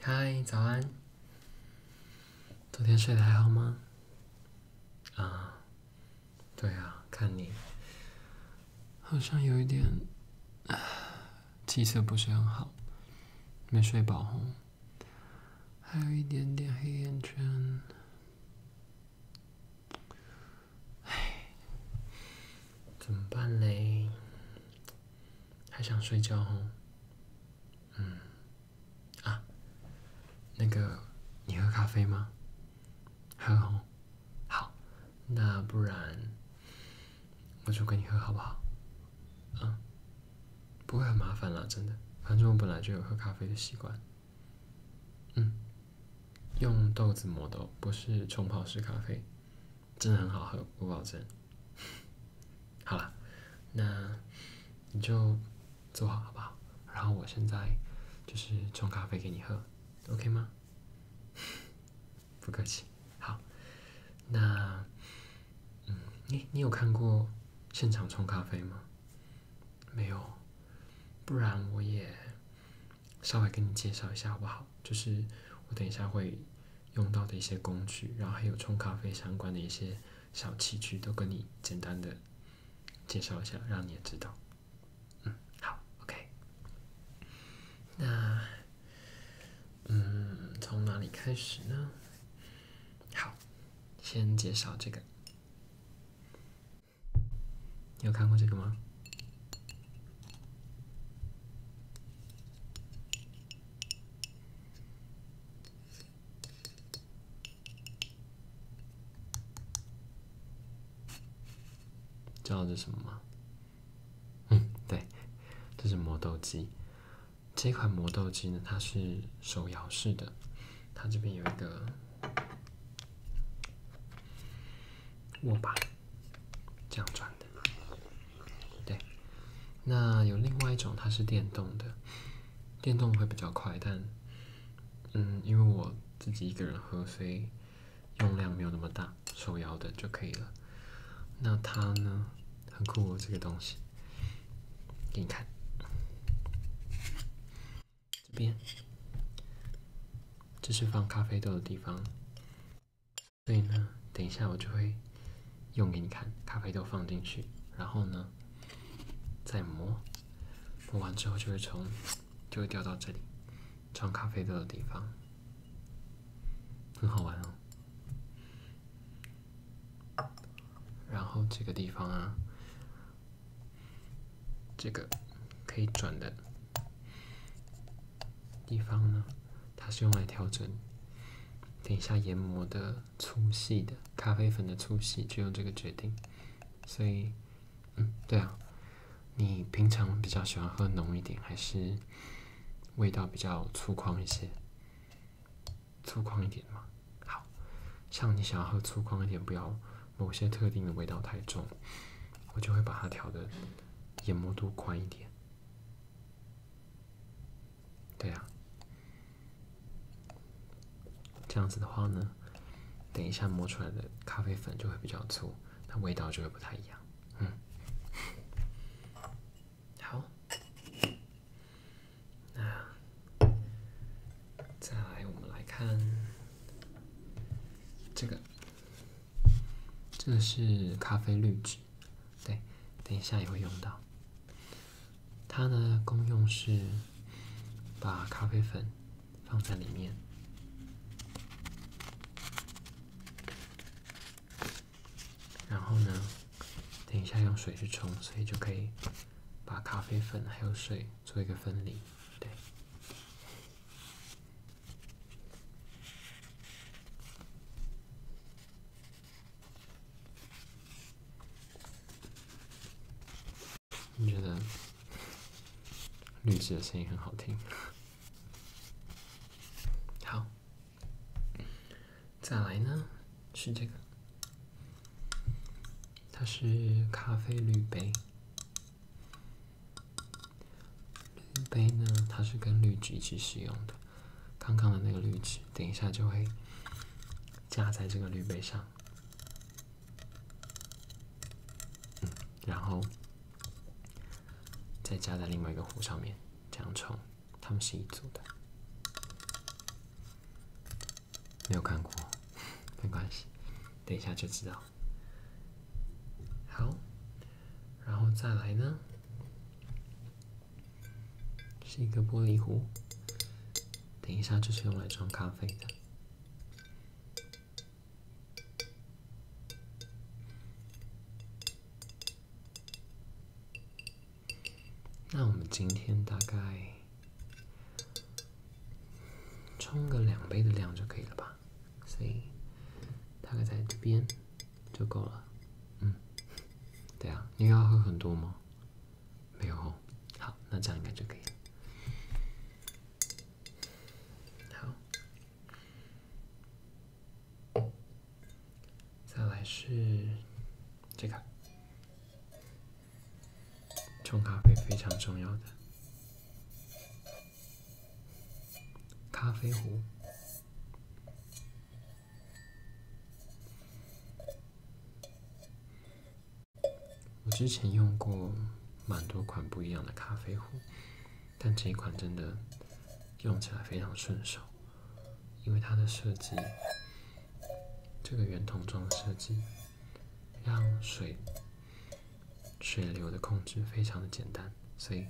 嗨，早安。昨天睡得还好吗？啊，对啊，看你好像有一点气色不是很好，没睡饱还有一点点黑眼圈。哎，怎么办嘞？还想睡觉哦。嗯，啊，那个，你喝咖啡吗？喝，好，那不然我就跟你喝好不好？嗯，不会很麻烦啦，真的。反正我本来就有喝咖啡的习惯。嗯，用豆子磨的，不是冲泡式咖啡。真的很好喝，我保证。好了，那你就坐好，好不好？然后我现在就是冲咖啡给你喝，OK 吗？不客气。好，那嗯，你你有看过现场冲咖啡吗？没有，不然我也稍微给你介绍一下好不好？就是我等一下会。用到的一些工具，然后还有冲咖啡相关的一些小器具，都跟你简单的介绍一下，让你也知道。嗯，好，OK。那，嗯，从哪里开始呢？好，先介绍这个。你有看过这个吗？知道这是什么吗？嗯，对，这是磨豆机。这款磨豆机呢，它是手摇式的，它这边有一个握把，这样转的。对，那有另外一种，它是电动的，电动会比较快，但嗯，因为我自己一个人喝，所以用量没有那么大，手摇的就可以了。那它呢，很酷哦，这个东西，给你看，这边，这是放咖啡豆的地方。所以呢，等一下我就会用给你看，咖啡豆放进去，然后呢再磨，磨完之后就会从就会掉到这里装咖啡豆的地方，很好玩哦。然后这个地方啊，这个可以转的地方呢？它是用来调整，等一下研磨的粗细的咖啡粉的粗细就用这个决定。所以，嗯，对啊，你平常比较喜欢喝浓一点，还是味道比较粗犷一些？粗犷一点嘛。好像你想要喝粗犷一点，不要某些特定的味道太重，我就会把它调的研磨度宽一点。对呀，这样子的话呢，等一下磨出来的咖啡粉就会比较粗，它味道就会不太一样。嗯，好，那再来我们来看这个，这是咖啡滤纸。对，等一下也会用到。它呢，功用是把咖啡粉放在里面，然后呢，等一下用水去冲，所以就可以把咖啡粉还有水做一个分离。对。你觉得绿植的声音很好听。好，再来呢，是这个，它是咖啡滤杯。杯呢，它是跟绿植一起使用的。刚刚的那个滤纸，等一下就会架在这个滤杯上，嗯，然后再加在另外一个壶上面，这样冲，它们是一组的。没有看过，没关系，等一下就知道。好，然后再来呢？是一个玻璃壶，等一下就是用来装咖啡的。那我们今天大概冲个两杯的量就可以了吧？所以大概在这边。就够了，嗯，对啊，你要喝很多吗？没有哦，好，那这样应该就可以了。好，再来是这个冲咖啡非常重要的咖啡壶。我之前用过蛮多款不一样的咖啡壶，但这一款真的用起来非常顺手，因为它的设计，这个圆筒状的设计，让水水流的控制非常的简单，所以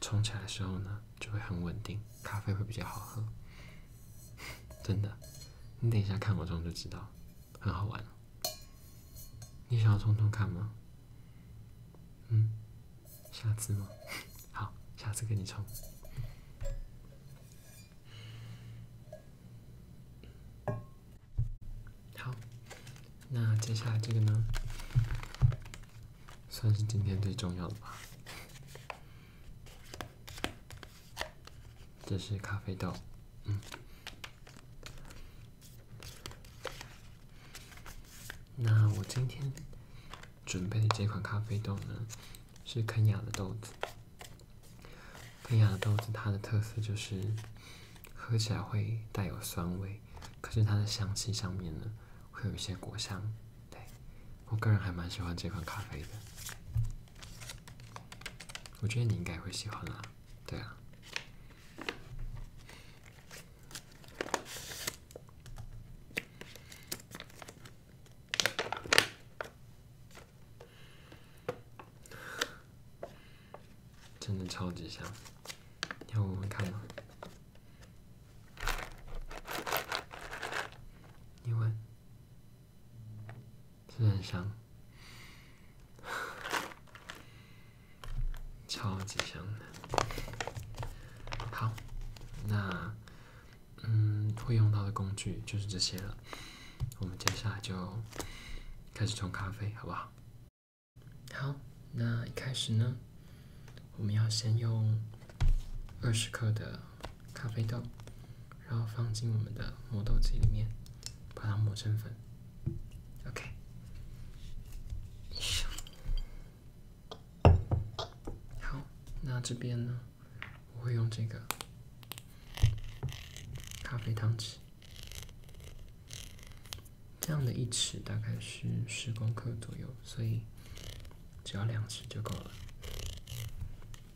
冲起来的时候呢。就会很稳定，咖啡会比较好喝，真的。你等一下看我冲就知道，很好玩。你想要冲冲看吗？嗯，下次吗？好，下次给你冲。好，那接下来这个呢？算是今天最重要的吧。这是咖啡豆，嗯，那我今天准备的这款咖啡豆呢，是肯雅的豆子。肯雅的豆子它的特色就是喝起来会带有酸味，可是它的香气上面呢，会有一些果香。对，我个人还蛮喜欢这款咖啡的，我觉得你应该会喜欢啊，对啊，真的超级香，要闻闻看吗？你闻。真的很香，超级香的。好，那嗯，会用到的工具就是这些了。我们接下来就开始冲咖啡，好不好？好，那一开始呢，我们要先用二十克的。咖啡豆，然后放进我们的磨豆机里面，把它磨成粉。OK，好，那这边呢，我会用这个咖啡汤匙，这样的一匙大概是十公克左右，所以只要两匙就够了。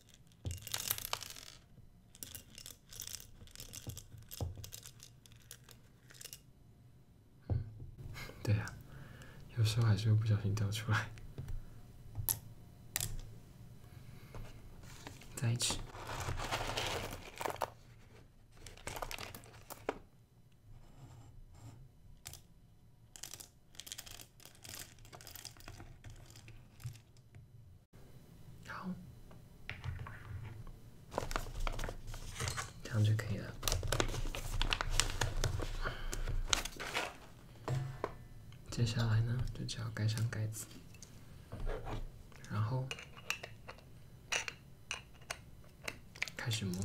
对呀，有时候还是会不小心掉出来，在 一起。好，这样就可以了。接下来呢，就只要盖上盖子，然后开始磨。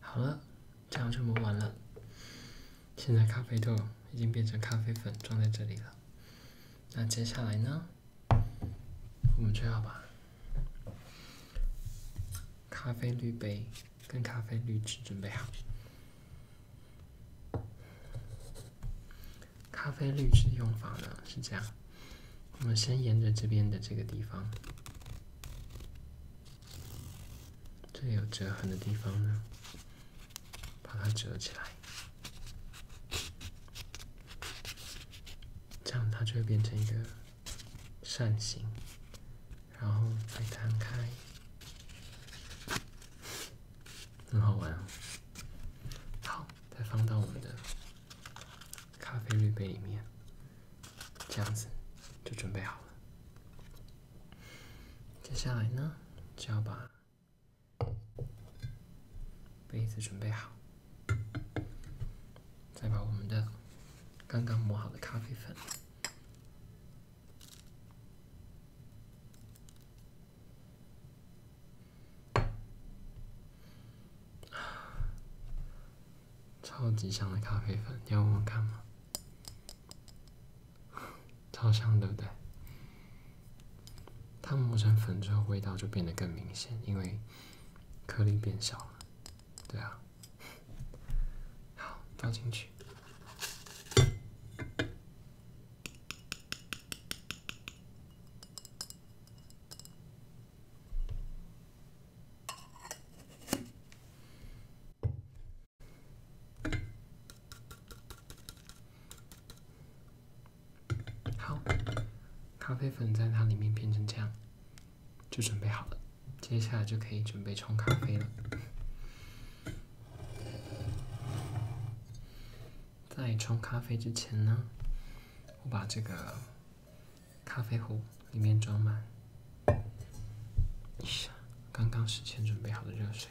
好了，这样就磨完了。现在咖啡豆已经变成咖啡粉，装在这里了。那接下来呢？我们就要把。咖啡滤杯跟咖啡滤纸准备好。咖啡滤纸用法呢是这样，我们先沿着这边的这个地方，这里有折痕的地方呢，把它折起来。这样它就会变成一个扇形，然后再摊开，很好玩。好，再放到我们的咖啡滤杯里面，这样子就准备好了。接下来呢，就要把杯子准备好。再把我们的刚刚磨好的咖啡粉，超级香的咖啡粉，你要闻闻看吗？超香，对不对？它磨成粉之后，味道就变得更明显，因为。颗粒变小了，对啊，好，放进去。好，咖啡粉在它里面变成这样，就准备好了。接下来就可以准备冲咖啡了。在冲咖啡之前呢，我把这个咖啡壶里面装满刚刚事先准备好的热水。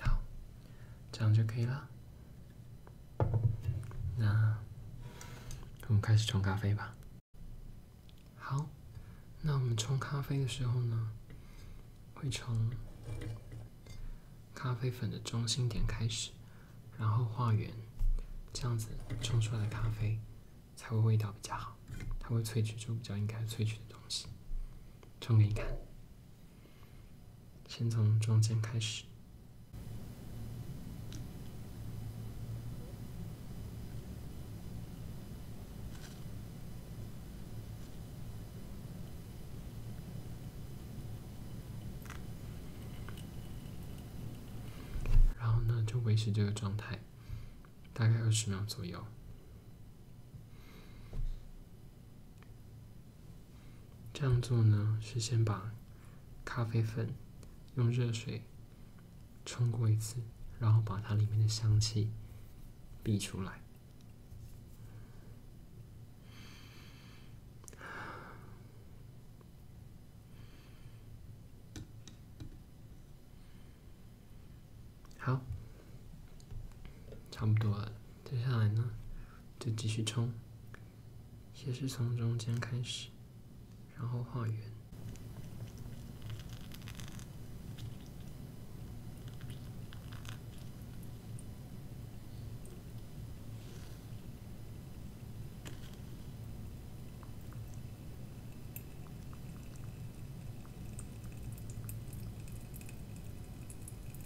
好，这样就可以了。那我们开始冲咖啡吧。好，那我们冲咖啡的时候呢，会从咖啡粉的中心点开始，然后画圆，这样子冲出来的咖啡才会味道比较好，它会萃取出比较应该萃取的东西。冲给你看。先从中间开始，然后呢，就维持这个状态，大概二十秒左右。这样做呢，是先把咖啡粉用热水冲过一次，然后把它里面的香气逼出来。好。差不多了，接下来呢，就继续冲，也是从中间开始，然后画圆。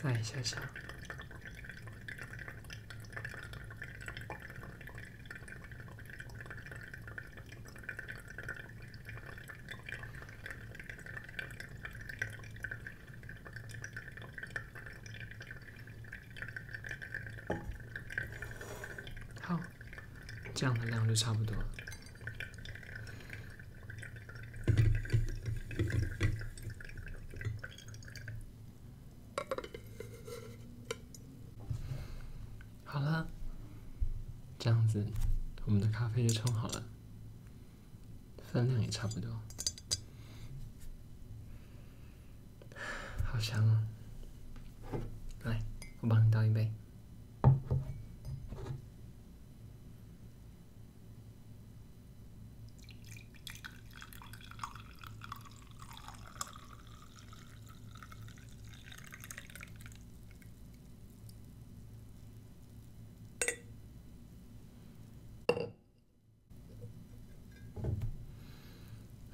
再想想。好，这样的量就差不多。好了，这样子，我们的咖啡就冲好了，分量也差不多。好香哦！来，我帮你倒一杯。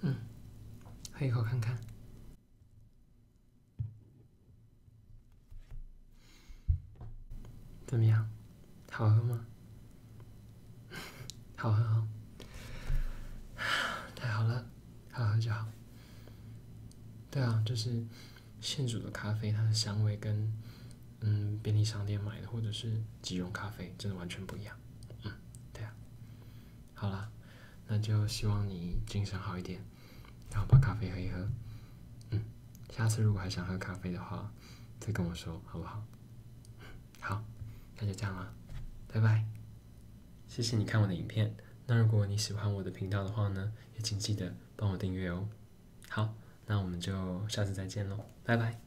嗯，喝一口看看，怎么样？好喝吗？好喝好，太好了，好喝就好。对啊，就是现煮的咖啡，它的香味跟嗯便利商店买的或者是即溶咖啡真的完全不一样，嗯。对啊，好了，那就希望你精神好一点，然后把咖啡喝一喝。嗯，下次如果还想喝咖啡的话，再跟我说好不好？好，那就这样了，拜拜。谢谢你看我的影片，那如果你喜欢我的频道的话呢，也请记得帮我订阅哦。好，那我们就下次再见喽，拜拜。